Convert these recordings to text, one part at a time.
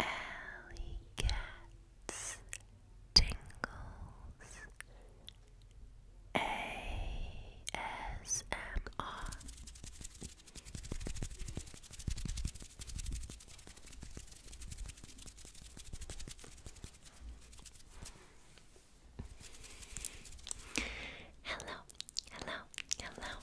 Alley Cats Tingles ASMR Hello, hello, hello.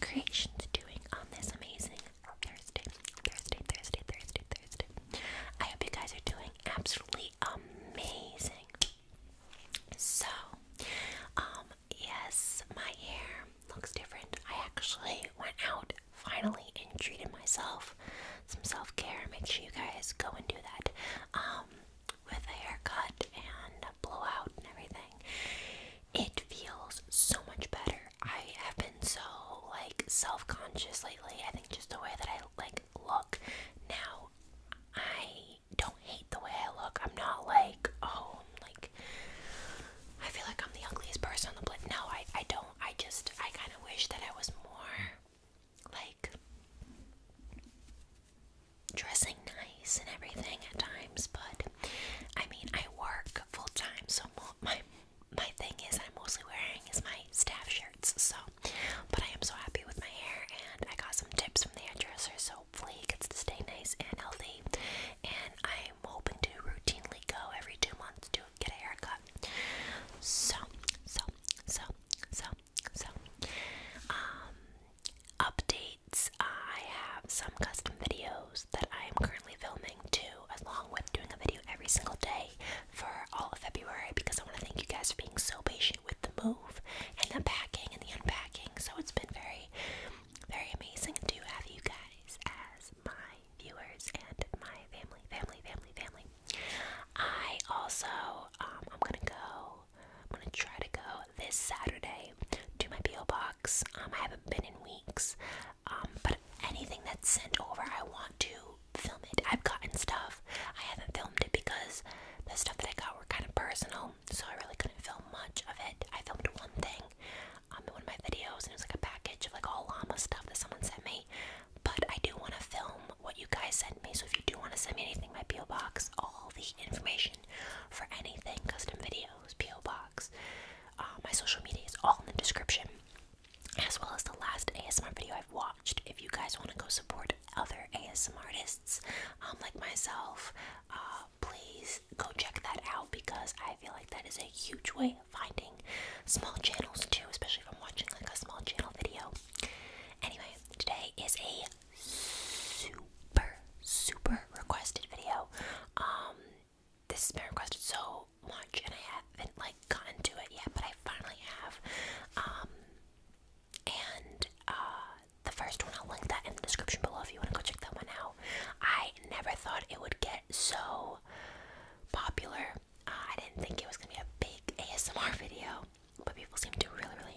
creations doing on this amazing Thursday, Thursday, Thursday, Thursday, Thursday. I hope you guys are doing absolutely amazing. So, um, yes, my hair looks different. I actually went out finally and treated myself some self-care. Make sure you guys go and do that. Um, with a haircut and blowout and everything, it feels so much better. I have been so like self-conscious lately. I think just the way that I like look now, I don't hate the way I look. I'm not like oh, i like I feel like I'm the ugliest person on the planet. No, I I don't. I just I kind of wish that I was more like dressing nice and everything at times, but I mean, I work full time, so my my thing is I'm mostly wearing is my staff shirts. So, but I am so happy with my hair, and I got some tips from the hairdresser, so hopefully it gets to stay nice and healthy. And I'm hoping to routinely go every two months to get a haircut. So, so, so, so, so, um, updates. I have some custom videos that I am currently filming too, along with doing a video every single day for all of February because I want to thank you guys for being so patient with the move and the packing and the unpacking. So it's been very, very amazing to have you guys as my viewers and my family, family, family, family. I also, um, I'm gonna go I'm gonna try to go this Saturday to my P.O. box. Um, I haven't been in weeks, um, but anything that's sent over, I want to film it. I've gotten stuff, I haven't filmed it because the stuff that I got were kind of personal, so I really couldn't film much of it. I filmed one thing um, one of my videos, and it was like a package of like all llama stuff that someone sent me. But I do want to film what you guys sent me, so if you do want to send me anything, my P.O. box, all the information for anything custom video P.O. Box. Uh, my social media is all in the description, as well as the last ASMR video I've watched. If you guys want to go support other ASMR artists um, like myself, uh, please go check that out because I feel like that is a huge way of finding small channels too, especially if I'm watching like a small channel video. Anyway, today is a super, super requested video. Um, this has been requested so much, and I haven't like gotten to it yet, but I finally have. Um, and uh, the first one, I'll link that in the description below if you want to go check that one out. I never thought it would get so popular. Uh, I didn't think it was gonna be a big ASMR video, but people seem to really, really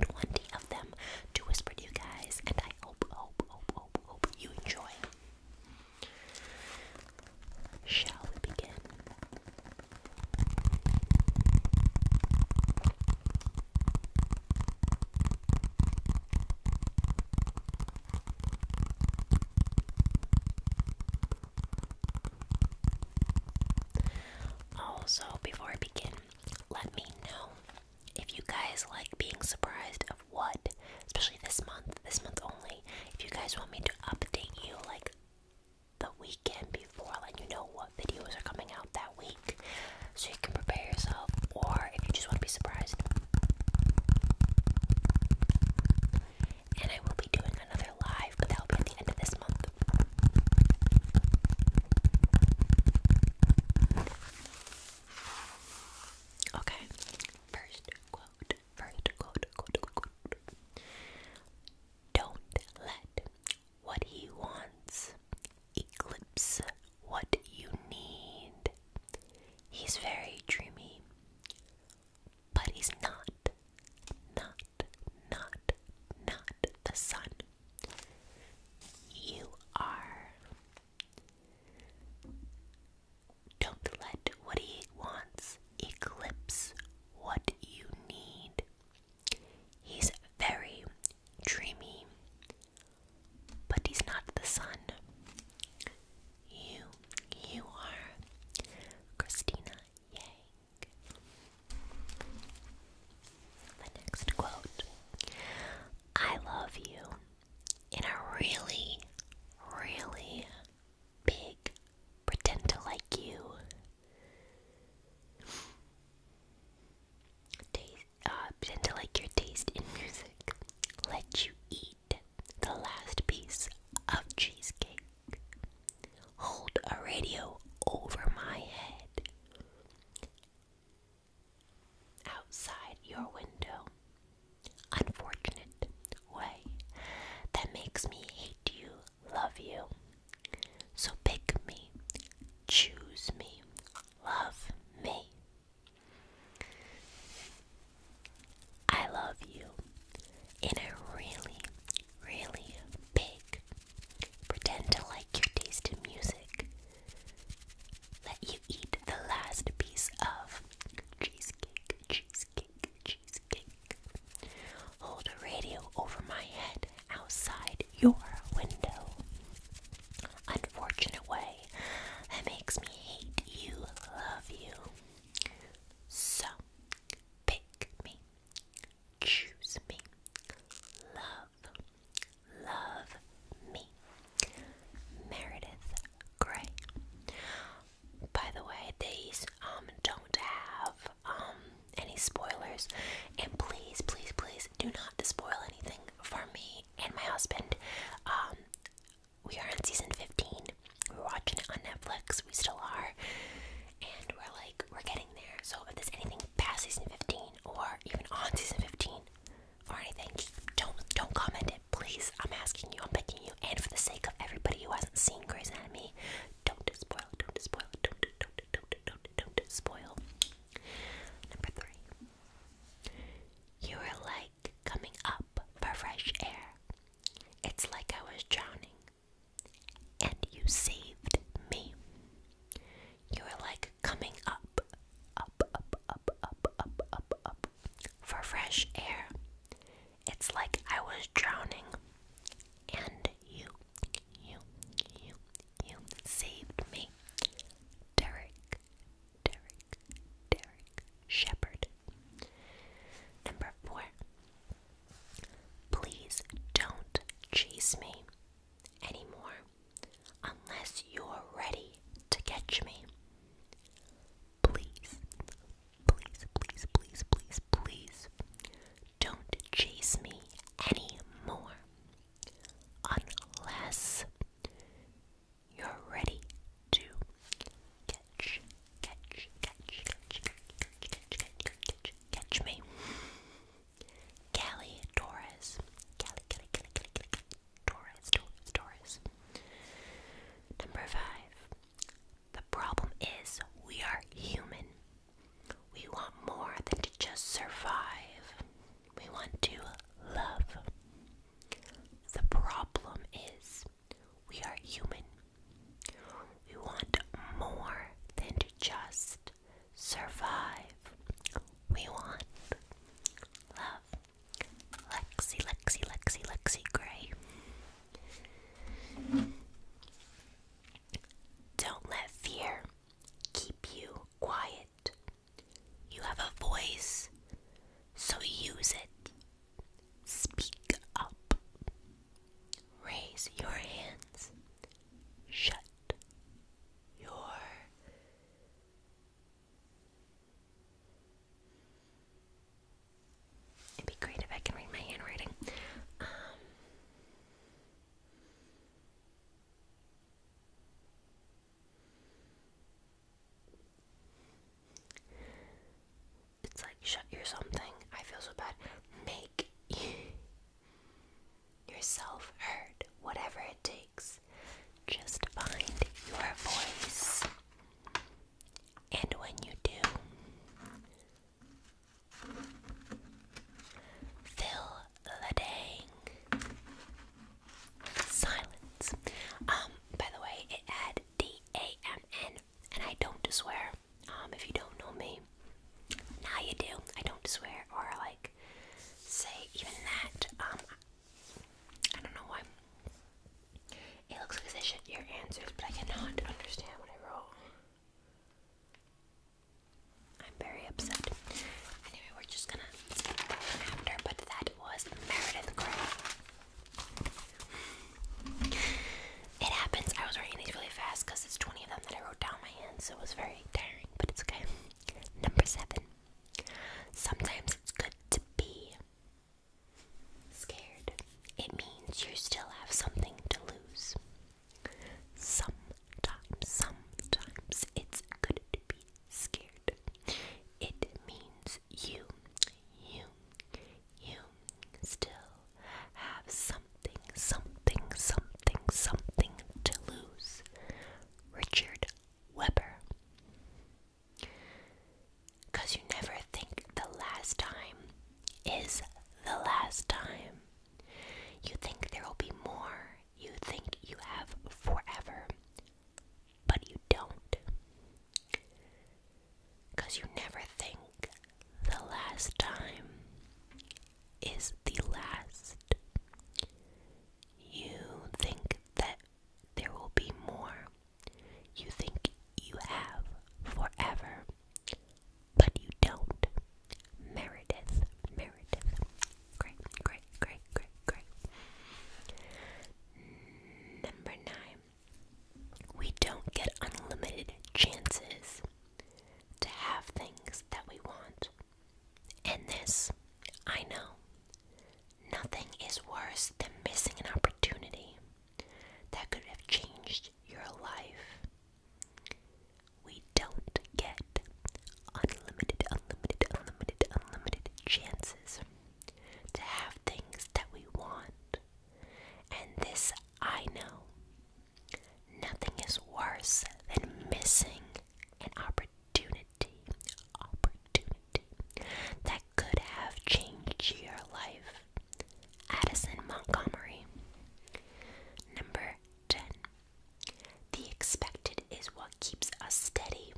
20, of them to whisper to you guys, and I hope, hope, hope, hope, you enjoy. Shall we begin? Also, before begin, let me know if you guys like being surprised of what, especially this month, this month only. If you guys want me to update you like the weekend before, let you know what videos are coming out that week so you can prepare yourself, or if you just want to be surprised. And I will be doing another live, but that'll be at the end of this month. Okay, first quote, first quote, Don't let what he wants eclipse what you need. He's very dreamy, but he's not, not not, not the sun. You are. Don't let what he wants eclipse what you need. He's very dreamy, but he's not the sun. You, you are. Christina Yang. The next quote I love you in a really, really big pretend to like you. Taste, uh, pretend to like your taste in music. Let you eat the last piece of cheesecake hold a radio over my head outside your window. Unfortunate way that makes me hate you, love you. So pick me, choose me, love me. I love you in a really really big. Pretend to like your taste in music. Let you eat the last piece of cheesecake, cheesecake, cheesecake. Hold a radio over my head outside your window. Unfortunate way that makes me hate you, love you. So, pick me, choose me. Love, love me. Meredith Grey. By the way, these um don't have um any spoilers, and please, please, please do not spoil anything for me and my husband. Um, we are on season fifteen. We're watching it on Netflix. We still are, and we're like we're getting so if there's anything past season 15 or even on season 15 or anything, just don't don't comment it, please. I'm asking you, I'm begging you, and for the sake of everybody who hasn't seen Grey's Anatomy, don't spoil, don't spoil, don't don't don't don't don't, don't spoil. Number three. You were like coming up for fresh air. It's like I was drowning and you saved me. You are like coming up, up, up, up, up, up, up, up for fresh air. It's like I was drowning, and you, you, you, you saved me. Derek, Derek, Derek Shepherd. Number four, Please don't chase me anymore unless you're ready to catch me. Please, please, please, please, please, please don't chase me anymore unless you're ready to catch, catch, catch, catch, catch, catch, catch, catch, catch, Catch me. Callie Torres. Callie, Callie, Callie, Callie, Callie, Torres, Torres, Torres. Number five. The problem is we are human. We want more than to just survive. We want to love. The problem is we are human. We want more than to just survive. We want love. Lexi, Lexi, Lexi, Lexi Gray. Don't let fear keep you quiet. You have a voice, so use it. Speak up. Raise your hands. Shut your It'd be great if I can read my handwriting. Um, it's like shut your something. I feel so bad. Make yourself hurt, whatever it takes. Just find your voice. And when you do, fill the dang silence. Um, by the way, it had D A M N, and I don't swear. Um, if you don't know me, now you do. I don't swear or like say even that. Um, I don't know why. It looks like they should your answers, but I cannot understand what I wrote. I'm very upset. Anyway, we're just gonna skip after, but that was Meredith Grey. It happens. I was writing these really fast because it's 20 of them that I wrote down my hand, so it was very tiring, but it's okay. Number seven. Sometimes it's good to be scared. It means you still have something to lose. Sometimes, sometimes it's good to be scared. It means you, you, you still have something, something, something, something to lose. Richard Weber. Because you never think the last time is the last time. You think there will be more. You think you have forever. But you don't. Because you never think the last time is the last. You think that there will be more. You think you have forever. But you don't. Meredith, Meredith. Great, great, great, great, great. Number nine. We don't get unlimited chances to have things that we want. And this, I know, nothing is worse than missing an opportunity that could have changed your life. We don't get unlimited, unlimited, unlimited, unlimited chances to have things that we want. And this I know Nothing is worse than missing an opportunity, opportunity that could have changed your life. Addison Montgomery. Number 10. The expected is what keeps us steady.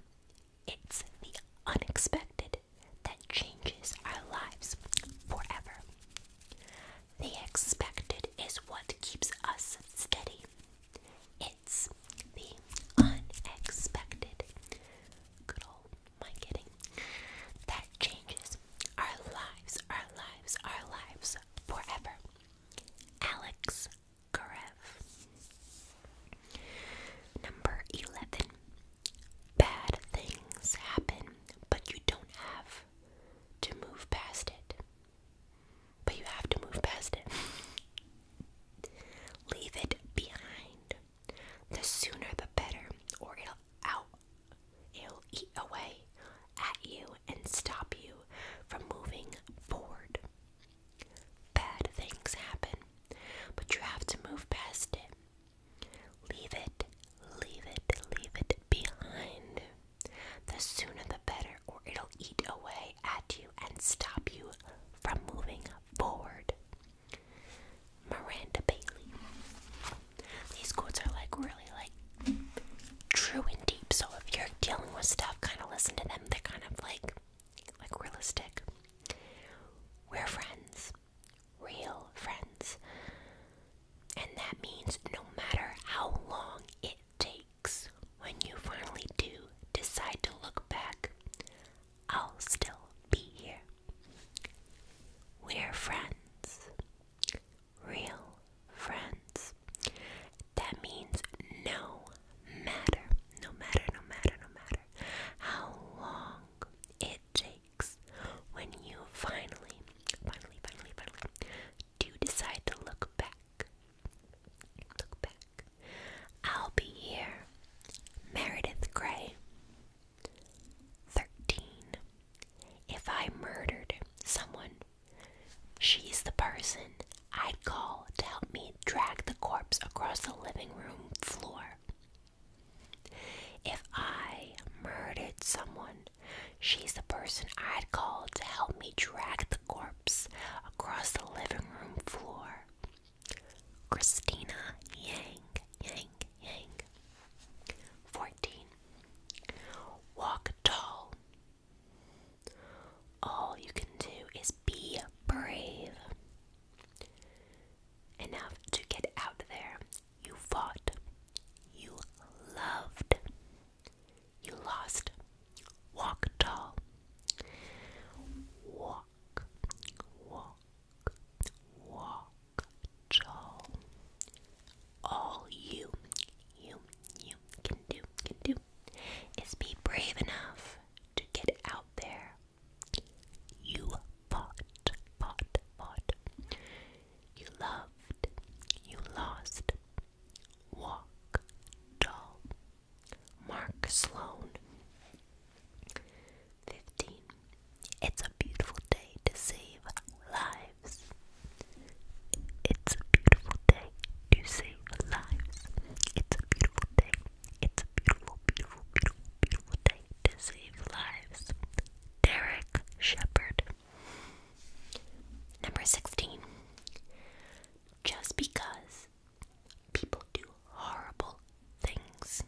It's the unexpected that changes our lives forever the expected is what keeps us steady. It's the unexpected. Good old my kidding. That changes our lives, our lives, our lives forever. Alex Karev. Number 11 bad things happen, but you don't have to move past it. But you have to move past it. Leave it behind. The sooner the better, or it'll out it'll eat away at you and stop you from moving forward. Bad things happen, but you have to move past it. Leave it, leave it, leave it behind. The sooner the better, or it'll eat away at you and stop you from moving forward. Miranda Bailey. These quotes are like really like true and deep, so if you're dealing with stuff, kind of listen to them. They're kind of like like realistic. We're friends real friends. And that means no matter how long it takes, when you finally do decide to look back, I'll still be here. We're friends. Real friends. That means no matter, no matter, no matter, no matter how long it takes when you finally, finally, finally, finally do decide to look back. Look back. I'll be here. Meredith Grey. 13. If I murdered someone, she's the person I'd call to help me drag the corpse across the living room floor. If I murdered someone, she's the person I'd call to help me drag the corpse across the living room floor. Christina Yang, Yang, Yang. 14. Walk tall. All you can do is be brave. Enough to get out there you fought. You loved. You lost. Walk tall. Walk, walk, walk tall. All you, you, you can do, can do is be brave enough to get out there. You fought, fought, fought. You loved, you lost. Walk, doll. Mark Sloan. 15. It's a beautiful day to save lives. It's a beautiful day to save lives. It's a beautiful day. It's a beautiful, beautiful, beautiful, beautiful day to save lives. Derek Shepard. Number 16. Just because people do horrible things,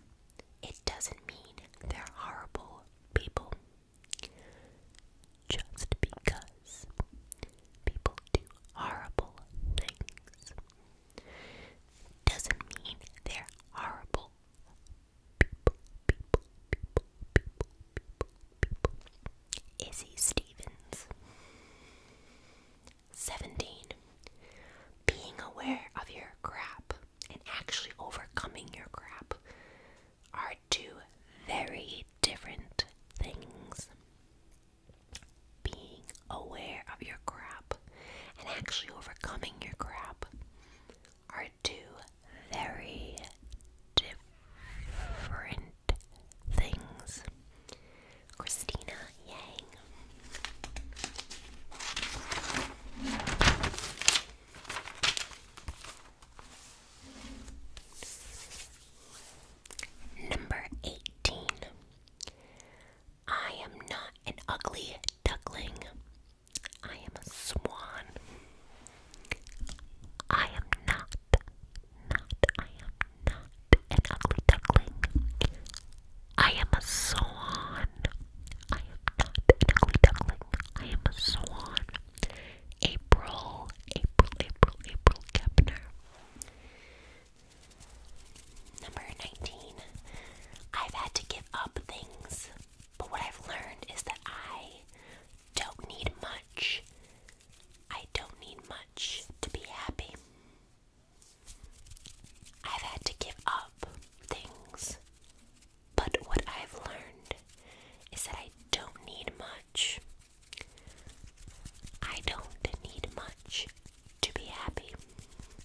it doesn't mean they're horrible people. Just because people do horrible things doesn't mean they're horrible people, Stevens. 17. Being aware of your crap and actually overcoming your crap are two very different things. Being aware of your crap and actually overcoming your crap are two very different things. Christina Yang. Number 18. I am not an ugly duckling. I am a swan. I am not, not, I am not an ugly duckling. I am a swan. I am not an duckling. I am a swan. April, April, April, April Kepner. Number 19. I've had to give up things but what I've learned is that I don't need much. I don't need much to be happy. I've had to give up things. But what I've learned is that I don't need much. I don't need much to be happy.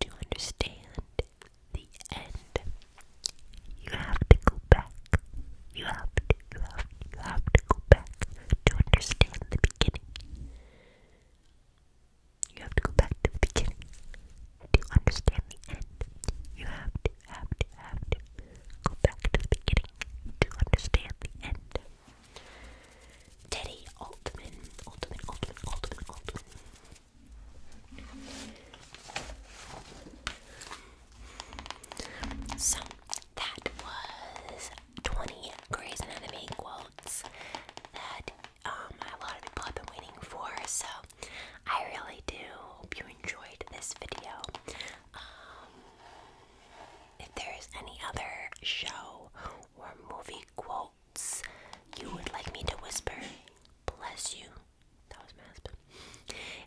to understand the end, you have to go back. You have to, you have, you have to go back to understand the beginning. You have to go back to the beginning to understand the end. You have to, have to, have to go back to the beginning to understand the end. Teddy Altman, Altman, Altman, Altman, Altman so that was 20 crazy, Anatomy quotes that um, a lot of people have been waiting for. So I really do hope you enjoyed this video. Um, if there is any other show or movie quotes you would like me to whisper, bless you that was my husband.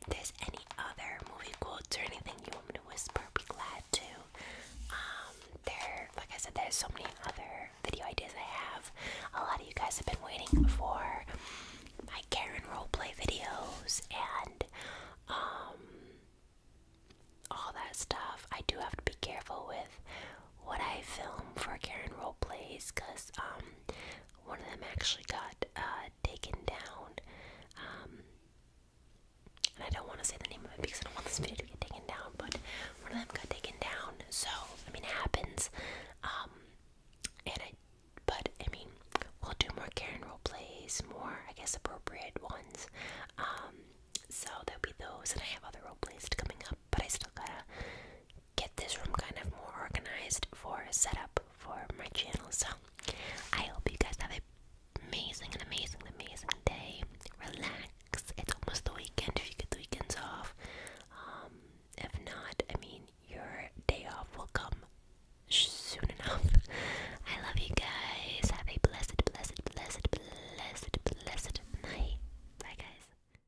If there's any other movie quotes or anything you want me to whisper, be glad to. Um, there, like I said, there's so many other video ideas I have. A lot of you guys have been waiting for my Karen roleplay videos and um, all that stuff. I do have to be careful with what I film for Karen plays, because um, one of them actually got uh, taken down. Um, and I don't want to say the name of it because I don't want this video to get taken down, but one of them got taken down. So, I mean, it happens. Um, and I, but I mean, we'll do more Karen role plays, more, I guess, appropriate ones. Um, so there'll be those, and I have other role plays coming up but I still gotta get this room kind of more organized for a setup for my channel. So I hope you guys have an amazing, and amazing, amazing day. Relax. It's almost the weekend if you get the weekends off. Um, if not, I mean, your day off will come soon enough. I love you guys. Have a blessed, blessed, blessed, blessed, blessed night. Bye, guys.